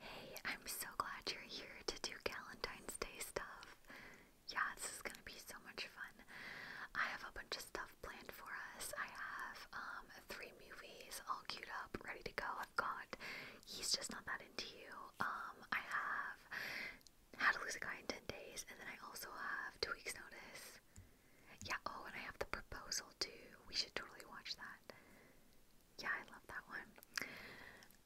Hey, I'm so glad you're here to do Valentine's Day stuff. Yeah, this is gonna be so much fun. I have a bunch of stuff planned for us. I have um three movies all queued up, ready to go. I've got He's Just Not That Into You. Um, I have How to Lose a Guy in 10 Days, and then I also have Two Weeks Notice. Yeah, oh, and I have the proposal too. We should totally watch that. Yeah, I love that one.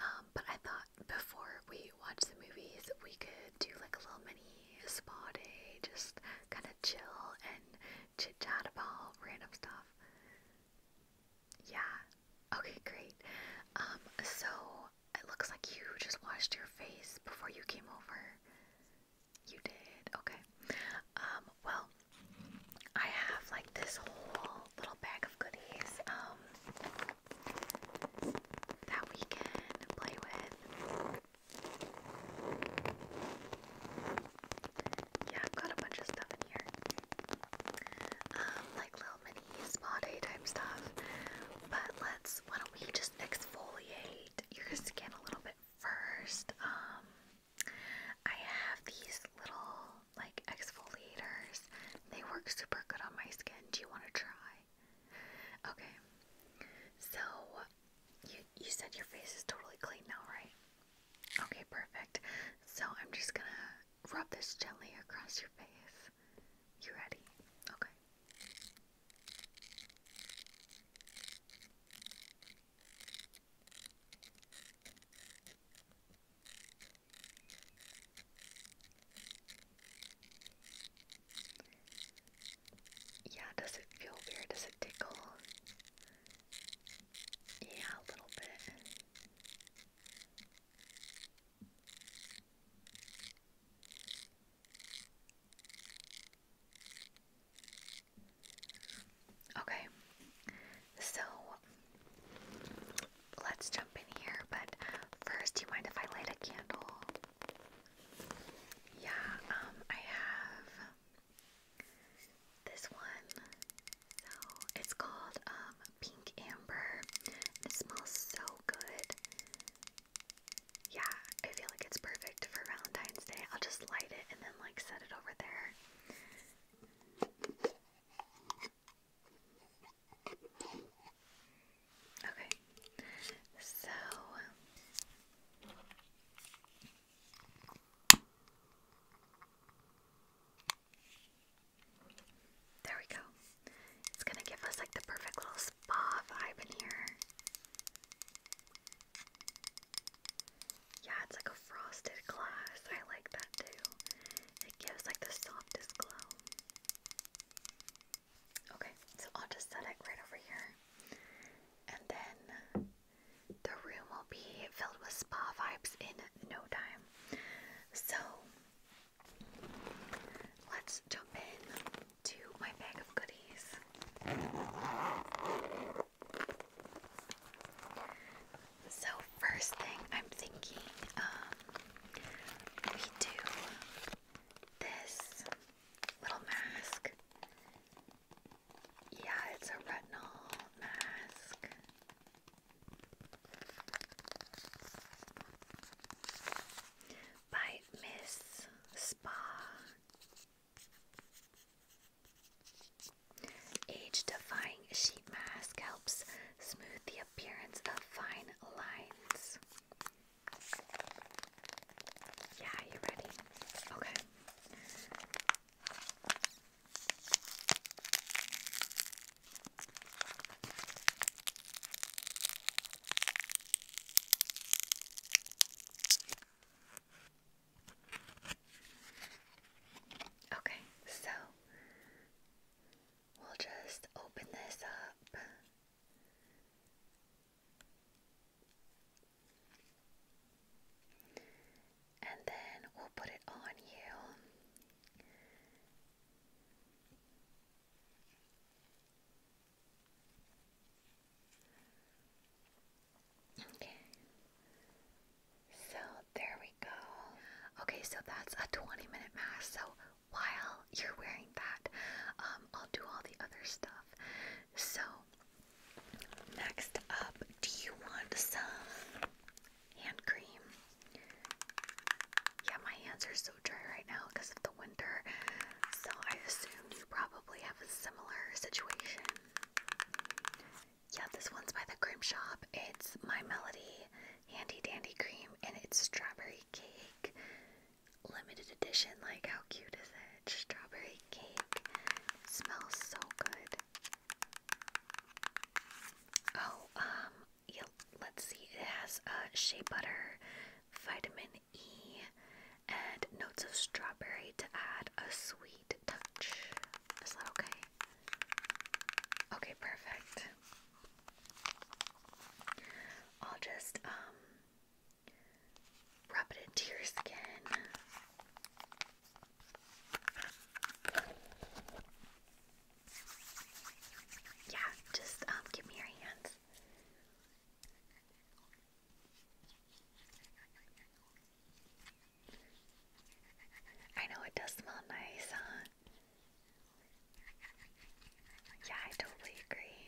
Um, but I thought before we watch the movies, we could do like a little mini spa day, just kind of chill and chit chat about random stuff. Yeah. Okay, great. Um, so it looks like you just washed your face before you came over. You did? Okay. Um, well, I have like this whole little bag of goodies um, that we can play with. Yeah, I've got a bunch of stuff in here. Um, like little mini spa day type stuff. But let's, why don't we just exfoliate your skin a little bit first. Um, I have these little like exfoliators. They work super good on my skin. Do you want to try? Okay. So you you said your face is totally clean now, right? Okay, perfect. So I'm just gonna rub this gently across your face. You ready? Okay. Yeah, does it feel weird? Does it tickle? Yeah, a little bit. Okay, so let's jump in here, but first, do you mind if I light a candle? Yeah, um, I have this one. So it's called um, Pink Amber. It smells so good. Yeah, I feel like it's perfect for Valentine's Day. I'll just light it and then like set it over there. Okay, so there we go. It's gonna give us like the perfect little spa vibe in here. Yeah, it's like a frosted glass. I like that too. It gives like the softest glow. Okay, so I'll just set it right over here. And then the room will be filled with spa vibes in no time. So let's jump in to my bag of goodies. So first thing I'm thinking, um, we do this little mask. Yeah, it's a retinol mask. By Miss Spa Age-defying sheet mask helps smooth the appearance of fine lines. Yeah, you ready? Okay. Okay, so we'll just open this up. And then we'll put it on you. Okay. So there we go. Okay, so that's a 20 minute mask. So while you're wearing that, um, I'll do all the other stuff. So next up, do you want some hand cream? Yeah, my hands are so dry right now because of the winter. So I assume you probably have a similar situation. Yeah, this one's by the cream shop. It's My Melody Handy Dandy Cream and it's strawberry cake. Limited edition. Like, how cute is it? Strawberry cake. Smells so good. Oh, um, let's see. It has uh, shea butter, vitamin E, and notes of strawberry to add a sweet touch. Is that okay? Okay, perfect. I'll just um rub it into your skin. Yeah, just um give me your hands. I know it does smell nice, huh? Yeah, I totally agree.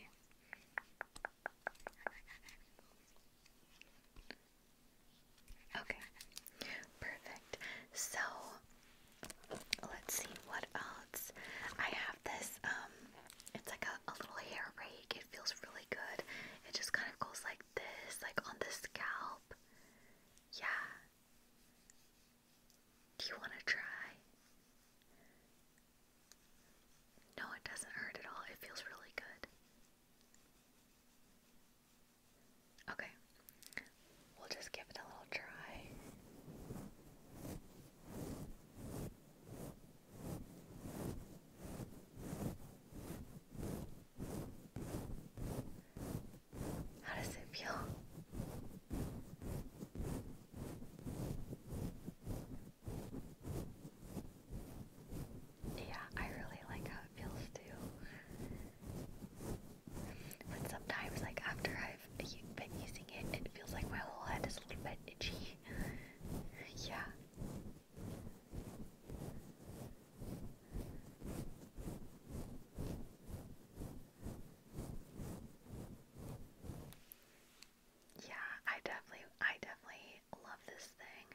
Okay, perfect. So let's see what else. I have this, um, it's like a, a little hair braid it feels really good. It just kind of goes like this, like on the scalp. Yeah. Do you want to try? No, it doesn't hurt at all. It feels really good. Okay, we'll just give it a little try. How does it feel? Yeah, I really like how it feels too. But sometimes, like after I've been using it, it feels like my whole head is a little bit itchy. yeah. Yeah, I definitely, I definitely love this thing.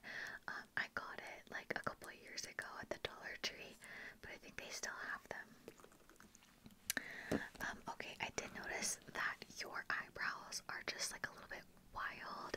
Um, I got it like a couple years ago at the Dollar Tree, but I think they still have them. Um, okay, I did notice that your eyebrows are just like a little bit wild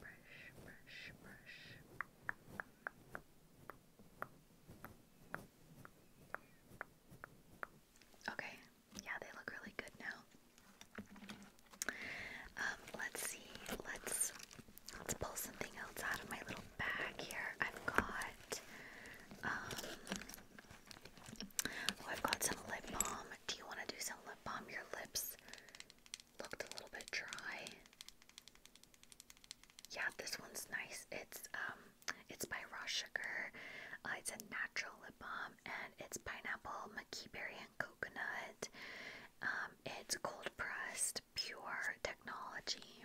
brush, brush, brush. Okay, yeah, they look really good now. Um, let's see, let's let's pull something else out of my little bag here. I've got um oh I've got some lip balm. Do you want to do some lip balm? Your lips looked a little bit dry. Yeah, this one's nice. It's um it's by Raw Sugar. Uh, it's a natural lip balm and it's pineapple, maki berry and coconut. Um, it's cold pressed, pure technology.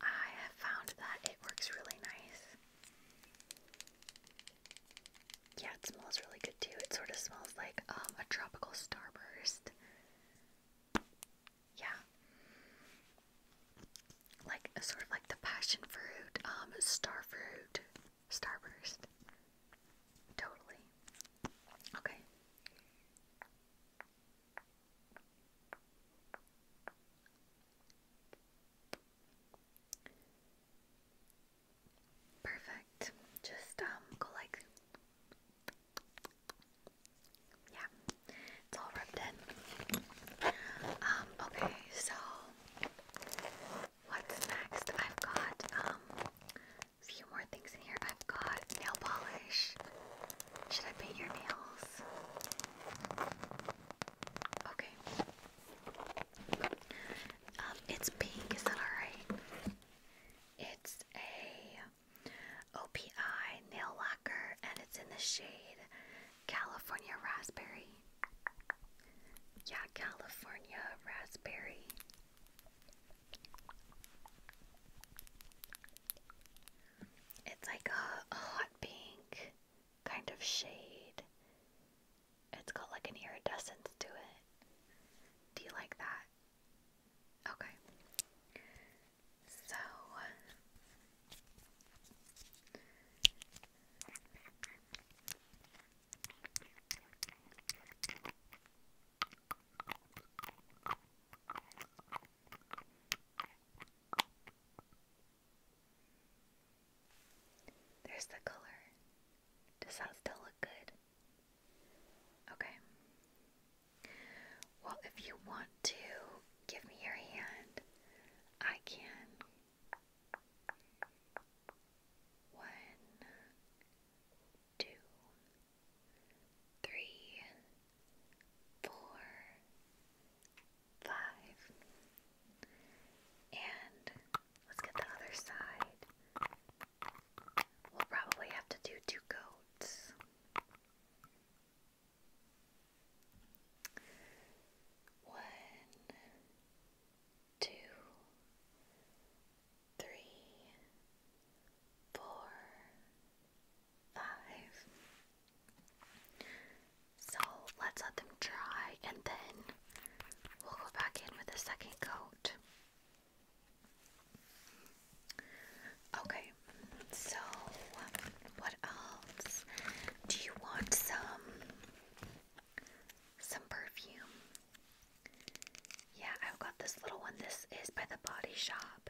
I have found that it works really nice. Yeah, it smells really good too. It sort of smells like um, a tropical starburst yeah like sort of like the passion fruit um star fruit starburst totally okay Perfect. Just um go like yeah, it's all rubbed in. Um, okay, so what's next? I've got um a few more things in here. I've got nail polish. Should I paint your nails? Okay. Um, it's pink, is that alright? It's a OPI nail lacquer, and it's in the shade California Raspberry. Yeah, California Raspberry. It's like a, hot pink kind of shade. It's got like an iridescence to it. Do you like that? Okay. So there's the color. Does that still look good? Okay. Well, if you want to give me your hand, I can. One, two, three, four, five. And let's get the other side. We'll probably have to do two coats. One, two, three, four, five. So let's let them dry and then we'll go back in with a second coat. Okay, so what else? Do you want some some perfume? Yeah, I've got this little one. This is by the Body Shop.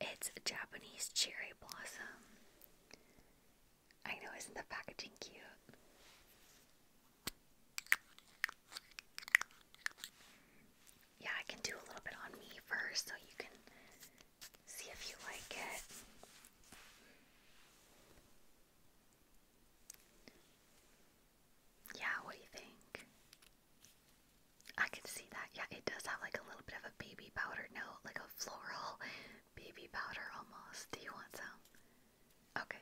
It's Japanese cherry blossom. I know, isn't the packaging cute? yeah, I can do a little bit on me first so you can see if you like it. Yeah, what do you think? I can see that. Yeah, it does have like a little bit of a baby powder note, like a floral baby powder almost. Do you want some? Okay.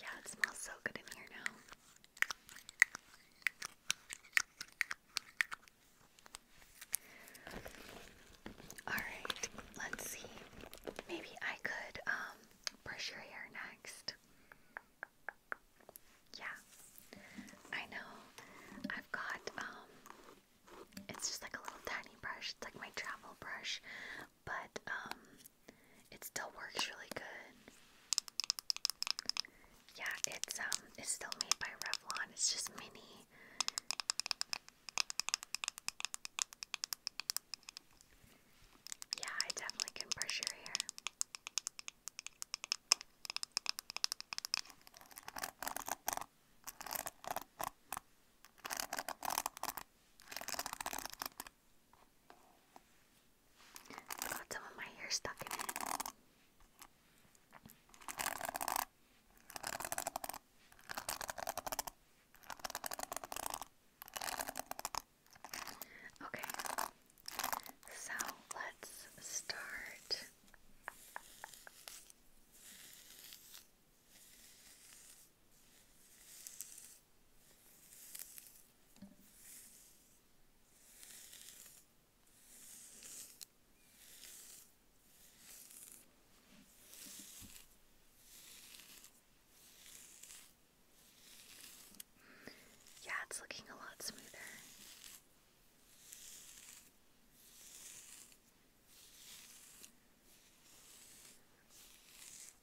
Yeah, it smells so good in here now. Alright, let's see. Maybe I could um, brush your hair next. Yeah. I know. I've got um, it's just like a little tiny brush. It's like my travel brush, but um, it still works really good. Yeah, it's um, it's still made by Revlon. It's just mini. Yeah, I definitely can brush your hair. Got some of my hair stuck in it. Okay, so let's start. Yeah, it's looking a lot smoother.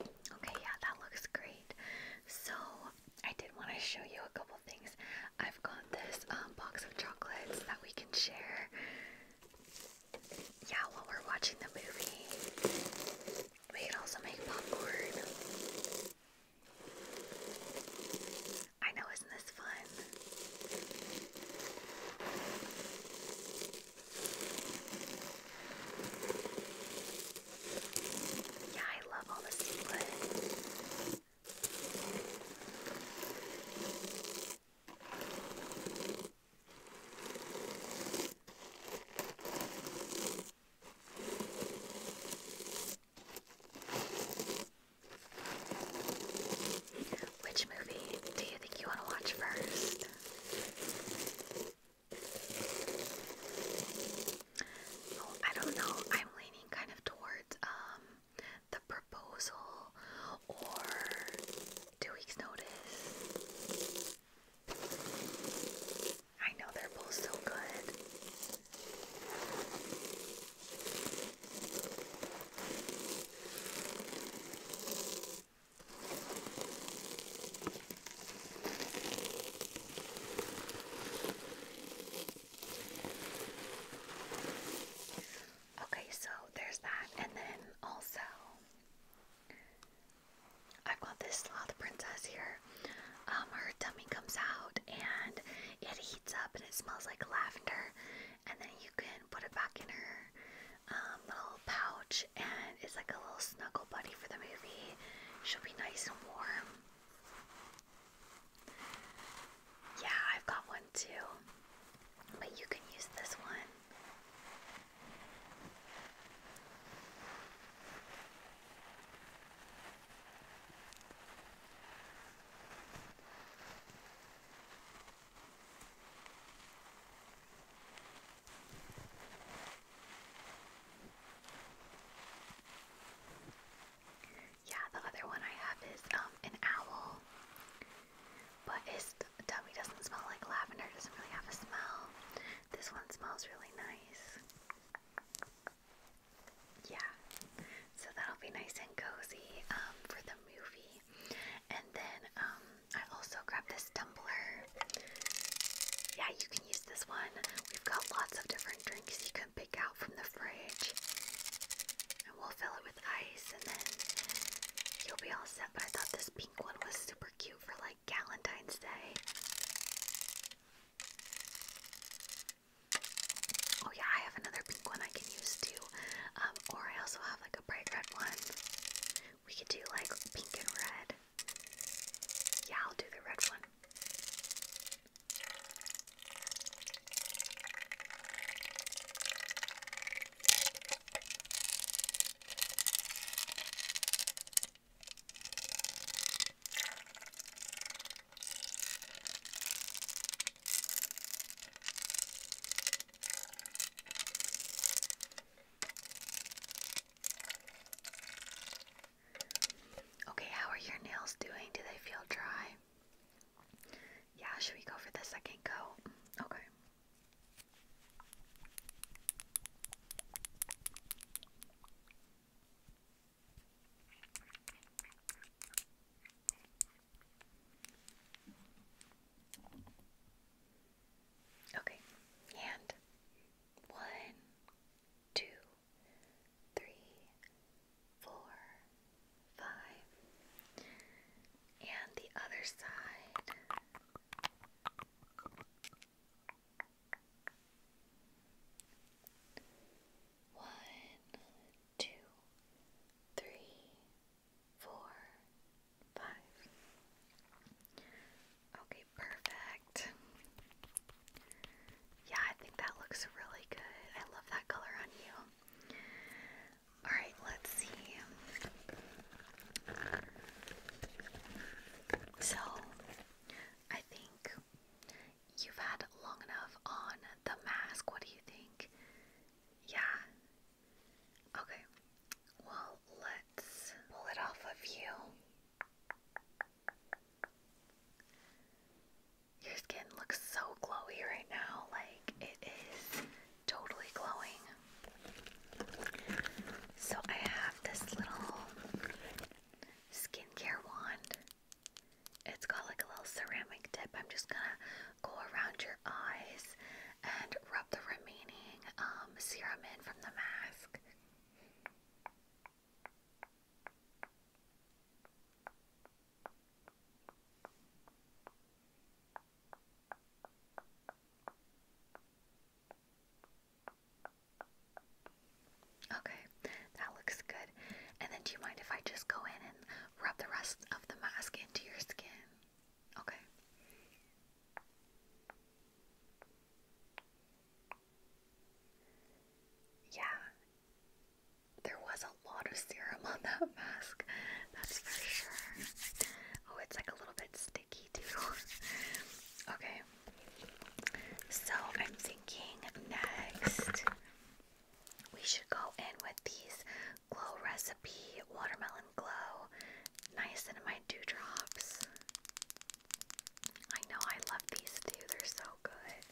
Okay, yeah, that looks great. So, I did want to show you a couple things. I've got this um, box of chocolates that we can share. Yeah, while we're watching the movie. We can also make popcorn. I know, isn't this fun? Yeah, I love all the seaweed. Which movie do you think you want to watch first? Oh, I don't know. I'm leaning kind of towards um the proposal or two weeks notice. I know they're both so good. Okay, so there's that, and then also I've got this sloth princess here. Um, her dummy comes out and it heats up and it smells like lavender, and then you can put it back in her um, little pouch and it's like a little snuggle buddy for the movie. She'll be nice and warm. Yeah, I've got one too. But you can use this one. Yeah, the other one I have is um an owl, but his tummy doesn't smell like lavender. Doesn't really have a smell. This one smells really nice. Yeah, so that'll be nice and cozy um, for the movie. And then um, I also grabbed this tumbler. Yeah, you can use this one. We've got lots of different drinks you can pick out from the fridge. And we'll fill it with ice and then you'll be all set. But I thought this pink one was super cute for like Valentine's Day. Oh yeah, I have another pink one I can use too. Um, or I also have like a bright red one. We could do like pink and red. Yeah, I'll do the red one. Okay, how are your nails doing? Do they feel dry? Yeah, should we go for the second coat? Okay. Okay, hand. One, two, three, four, five. And the other side. One, two, three, four, five. Okay, perfect. Yeah, I think that looks really good. I love that color on you. Alright, let's see. So, I think you've had long enough on the mask. What do you think? Yeah. Okay. Well, let's pull it off of you. Your skin looks so glowy right now, like it is totally glowing. So, I have this little skincare wand. It's got like a little ceramic tip. I'm just gonna go around your eyes and rub the remaining um, serum in from the mask. Okay, that looks good. And then do you mind if I just go in and rub the rest of the mask into your skin? Okay. Yeah, there was a lot of serum on that mask, that's for sure. Oh, it's like a little bit sticky too. okay, so I'm thinking next we should go in with these Glow Recipe Watermelon Glow Niacinamide Dewdrops. I know I love these too, they're so good.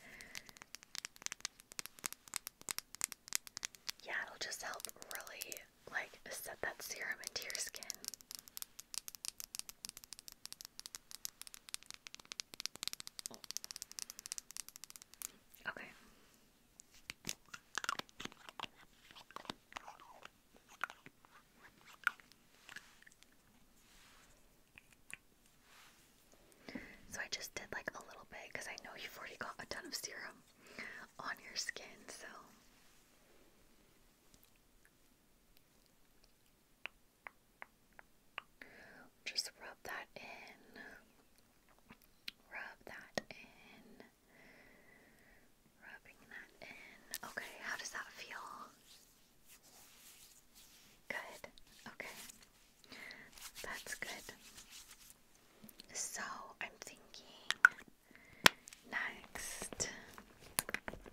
Yeah, it'll just help really like set that serum into your skin. Okay. So I just did like a little bit because I know you've already got a ton of serum on your skin, so. Just rub that in. Rub that in. Rubbing that in. Okay, how does that feel? Good. Okay. That's good. So I'm thinking next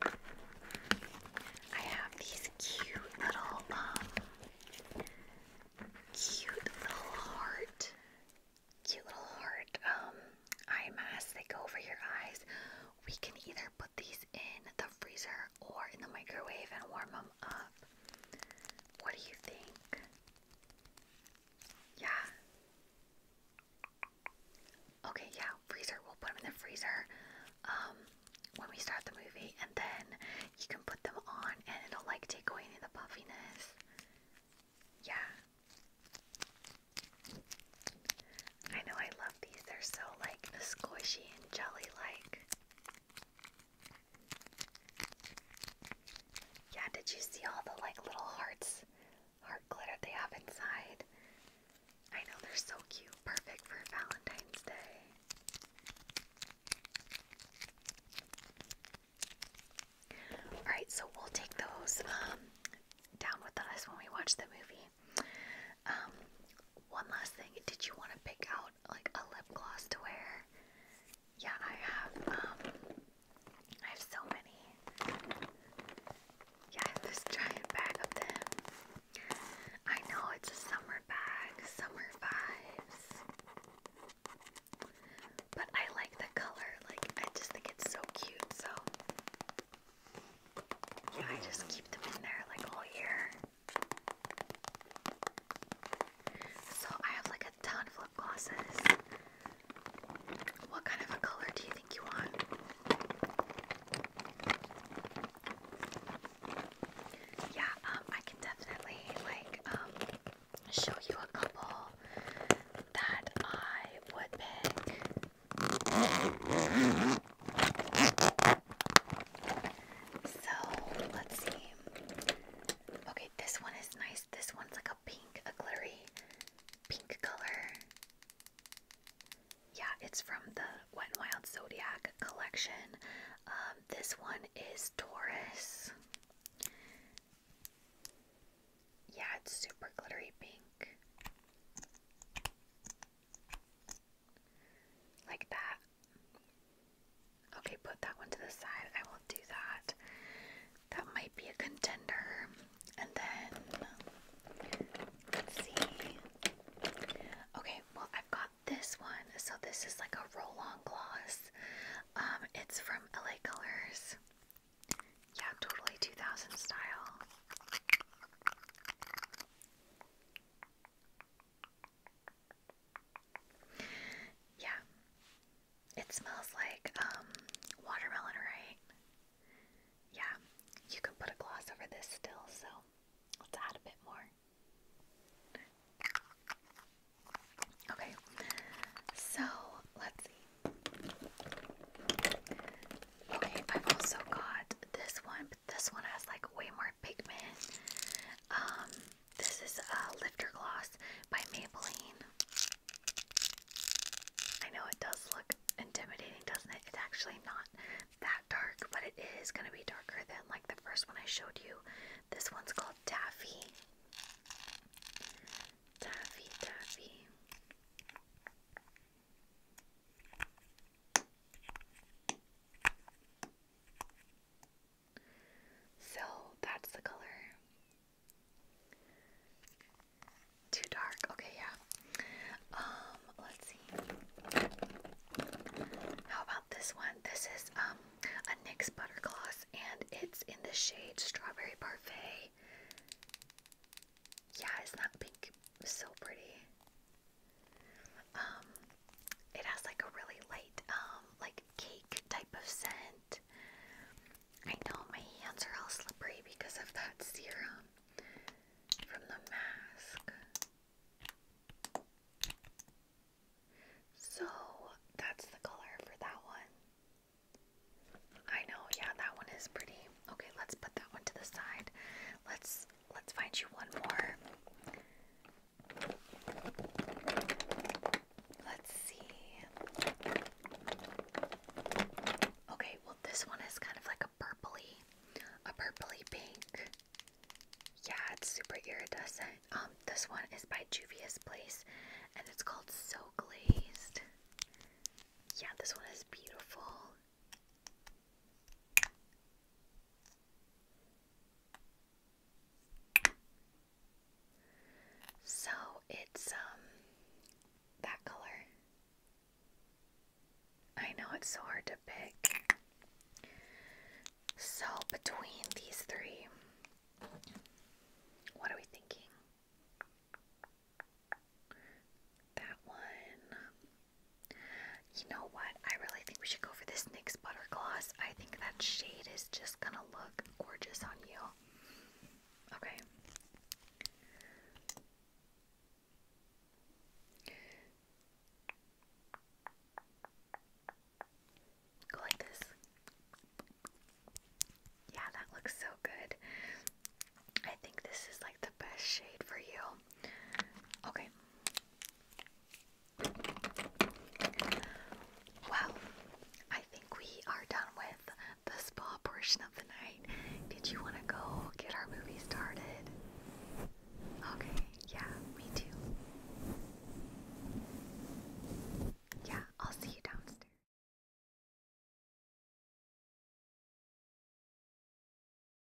I have these cute little um cute little heart cute little heart um eye masks that go over your eyes. We can either put these in the freezer or in the microwave and warm them up. What do you think? Yeah. Okay, yeah, freezer. We'll put them in the freezer um, when we start the movie, and then you can put them on, and it'll like take away any of the puffiness. Yeah. I know I love these. They're so like squishy and jelly like. Yeah, did you see all the like little hearts, heart glitter they have inside? I know they're so cute. Perfect for Valentine's Day. Alright, so we'll take those um, down with us when we watch the movie. Um, one last thing. Did you want to pick out like a lip gloss to wear? Yeah, I have. Um, I have so many. Yeah, this giant bag of them. I know it's a summer bag, summer vibes. But I like the color. Like I just think it's so cute. So yeah, I just keep them in there like all year? So I have like a ton of lip glosses. What kind of a color do you think you want? Yeah, um, I can definitely like um show you a couple that I would pick. So let's see. Okay, this one is nice. This one's like a pink, a glittery pink color. Yeah, it's from the Wet Wild Zodiac collection. Um, this one is Taurus. Yeah, it's super glittery pink. Like that. Okay, put that one to the side. I will do that. That might be a contender. And then, let's see. Okay, well, I've got this one. So, this is like a roll on gloss. Um, it's from LA Colors. Yeah, totally 2000 style. Yeah. It smells like um, watermelon, right? Yeah. You can put a gloss over this still, so let's add a bit more. Okay. So, let's see. Okay, I've also got this one this one has like way more pigment. Um, this is a lifter gloss by Maybelline. I know it does look intimidating, doesn't it? It's actually not that dark, but it is going to be darker than like the first one I showed you. This one's called Taffy. Taffy, Taffy. So that's the color. Too dark. Okay, yeah. Um, let's see. How about this one? This is um a NYX butter gloss and it's in the shade Strawberry Parfait. Yeah, it's not pink. So pretty. Um, it has like a really light, um, like cake type of scent. I know my hands are all slippery because of that serum from the mask. So that's the color for that one. I know, yeah, that one is pretty. Okay, let's put that one to the side. Let's Let's find you one more. Let's see. Okay, well this one is kind of like a purpley, a purpley pink. Yeah, it's super iridescent. Um, this one is by Juvia's Place, and it's called So Glazed. Yeah, this one is beautiful. So it's um that color. I know it's so hard to pick. So between these three, what are we thinking? That one. You know what? I really think we should go for this NYX Butter Gloss. I think that shade is just gonna look gorgeous on you. Okay. Go like this. Yeah, that looks so good. I think this is like best shade for you. Okay. Well, I think we are done with the spa portion of the night. Did you want to go get our movie started? Okay, yeah, me too. Yeah, I'll see you downstairs.